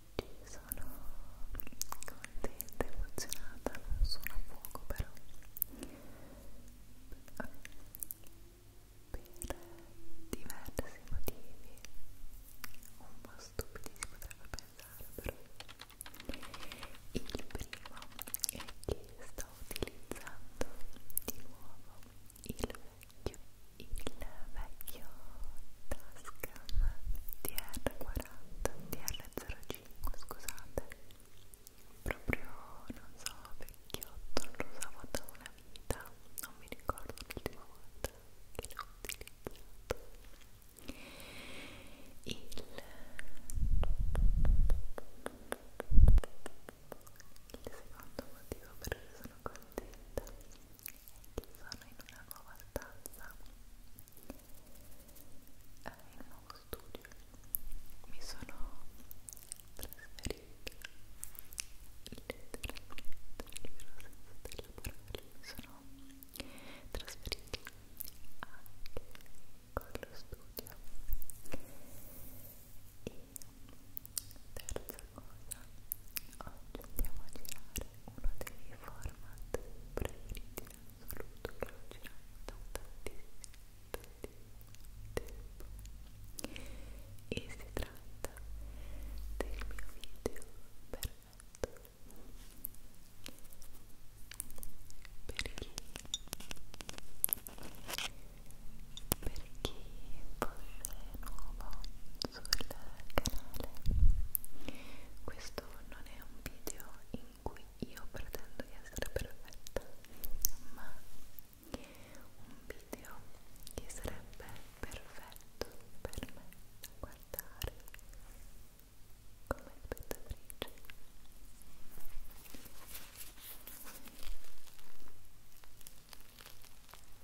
oggi sono contenta, emozionata, non sono a fuoco però Vabbè. per diversi motivi un po' stupidi si potrebbe pensare però il primo è che sto utilizzando di nuovo il vecchio il vecchio task Instagram DR40 DR05 scusate proprio non so vecchiotto non lo usavo da una vita non mi ricordo l'ultima volta che l'ho utilizzato il il secondo motivo per cui sono contenta sono in una nuova stanza eh, in un nuovo studio mi sono trasferita letteralmente senza delle parole mi sono trasferita anche con lo studio e terza cosa oggi andiamo a girare uno dei miei format preferiti in assoluto che ho girato da tantissimo, tantissimo tempo e si tratta del mio video perfetto per chi per chi fosse nuovo sul canale questo non è un video in cui io pretendo di essere perfetta ma un video che sarebbe perfetto per me da guardare come spettatrice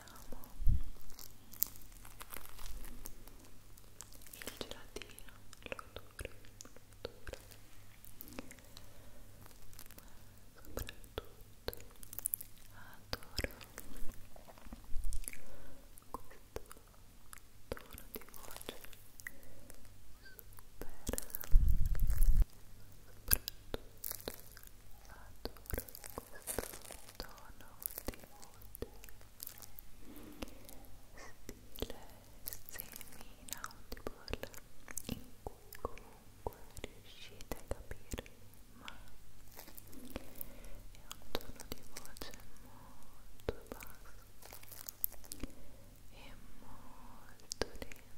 abbiamo il gelatino, l'odore, l'odore ma soprattutto adoro questo tono di voce super soprattutto adoro questo tono di voce in cui riuscite a capire ma è un tono di voce molto basso e molto lento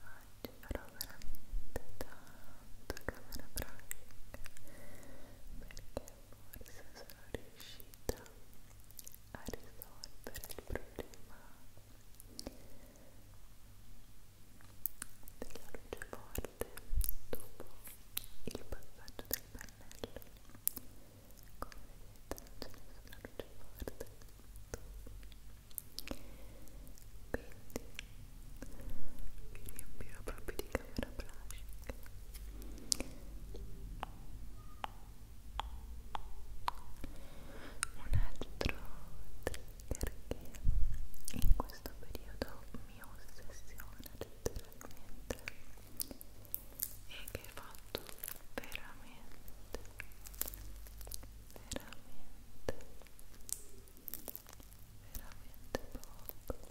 Oggi farò veramente tanto camera pratica perché forse sono riuscita a risolvere il problema della luce forte dopo il passaggio della il pannello come vedete non c'è nessuna luce forte quindi vi riempirò proprio di camera blush un altro trigger che in questo periodo mi ossessiona letteralmente e che hai fatto veramente veramente veramente poco e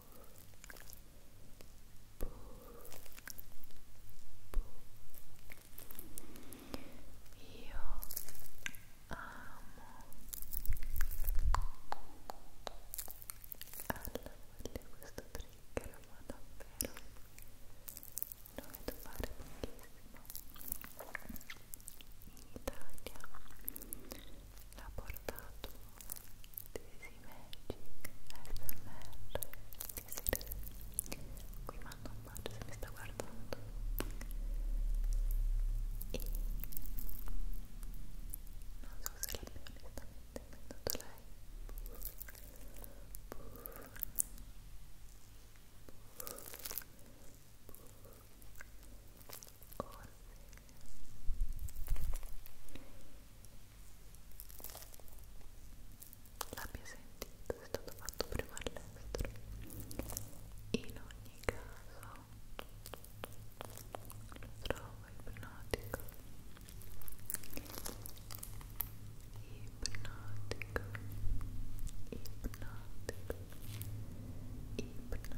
Io amo alla voglia questo trigger, ma davvero lo vedo fare pochissimo in Italia l'ha portato Desi Magic SMR Desiree qui mando un bacio se mi sta guardando e non so se l'abbia onestamente inventato lei Oh, sì l'abbia sentito, è stato fatto prima all'estero in ogni caso lo trovo ipnotico ipnotico ipnotico ipnotico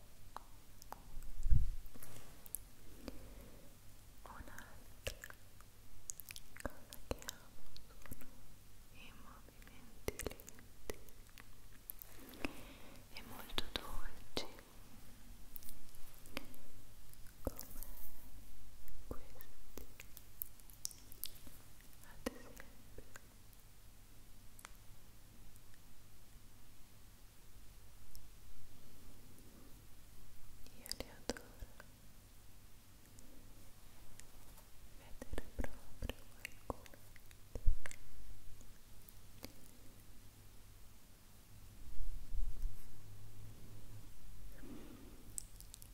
Un'altra cosa che amo sono i movimenti lenti e molto dolci come questi ad esempio io li adoro vedere proprio qualcuno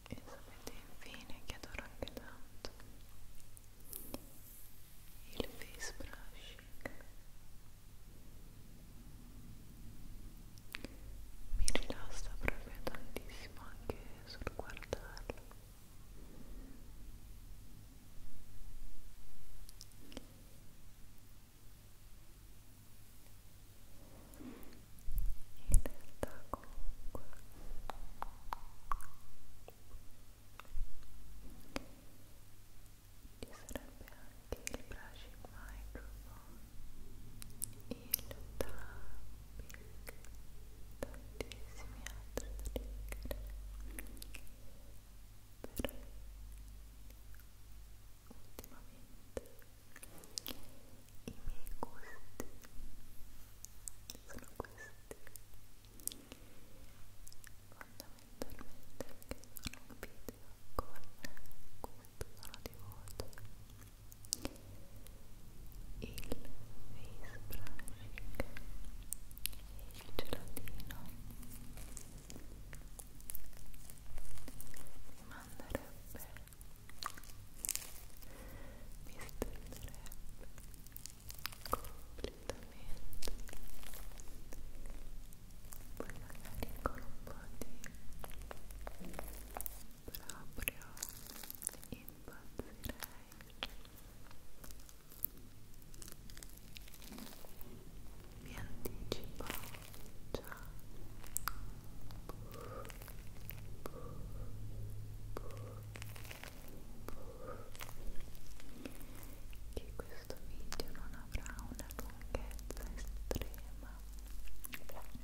e sapete infine che adoro anche tanto il face brush mi rilassa proprio tantissimo anche sul guardarlo in realtà comunque ci sarebbe anche il brushing microphone, il tapping, tantissimi altri trigger però ultimamente i miei gusti sono questi fondamentalmente perché sono un video con come sono di voto il face brushing e il gelatino mi manderebbe mi stenderebbe completamente poi magari con un po' di proprio impazzirei vi anticipo già Buh, buh, buh, buh, buh, che questo video non avrà una lunghezza estrema non, non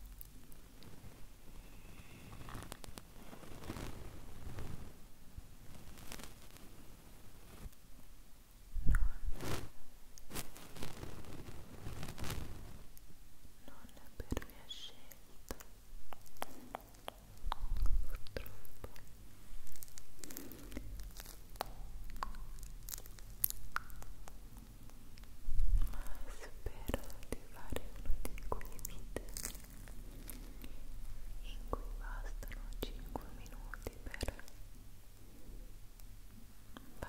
è per mia scelta ma spero di fare uno di quei video in cui bastano 5 minuti per far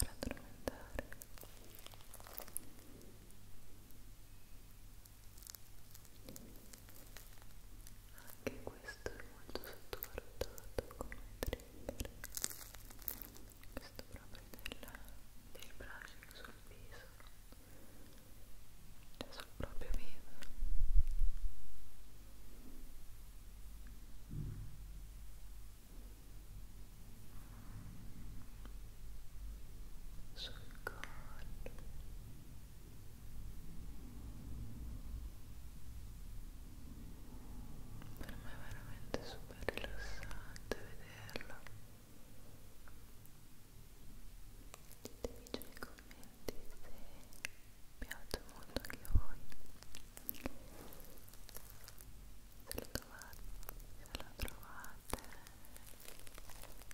addormentare e anche questo è molto sottovalutato come trigger questo proprio del, del brushing sul viso cioè sul proprio viso cioè, sul collo per me è veramente super rilassante vederlo ditemi già nei commenti se piace molto anche a voi se lo trovate se la trovate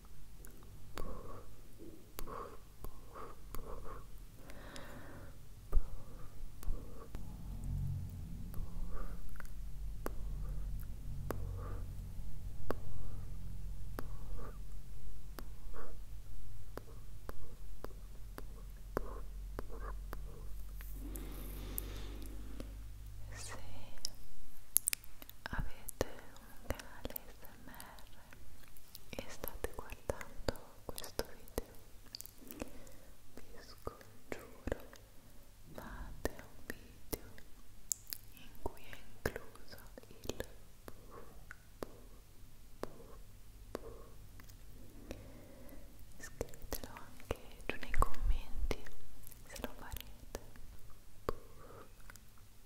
Se avete un canale SMR e state guardando questo video vi scongiuro fate un video in cui è incluso il scrivetelo anche giù nei commenti se lo farete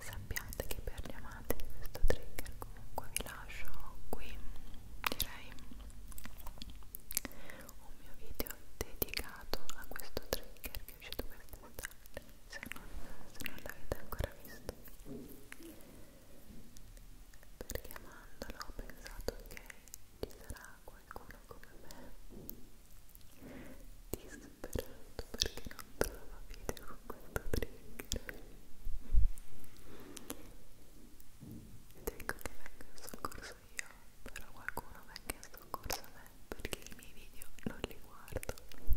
sappiate che per gli amanti di questo trigger comunque vi lascio qui direi un mio video dedicato a questo trigger che è uscito quest'estate se non, se non l'avete ancora visto perché amandolo ho pensato che ci sarà qualcuno come me disperato perché non trova video questo trigger ed ecco che vengo in soccorso io però qualcuno venga in soccorso a me perché i miei video non li guardo Ecco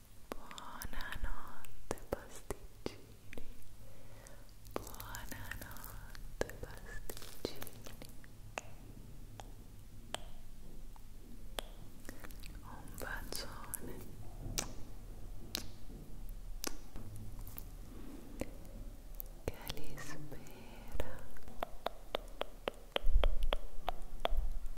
Buonanotte pasticcini. Buonanotte pasticcini. Un bacione. Che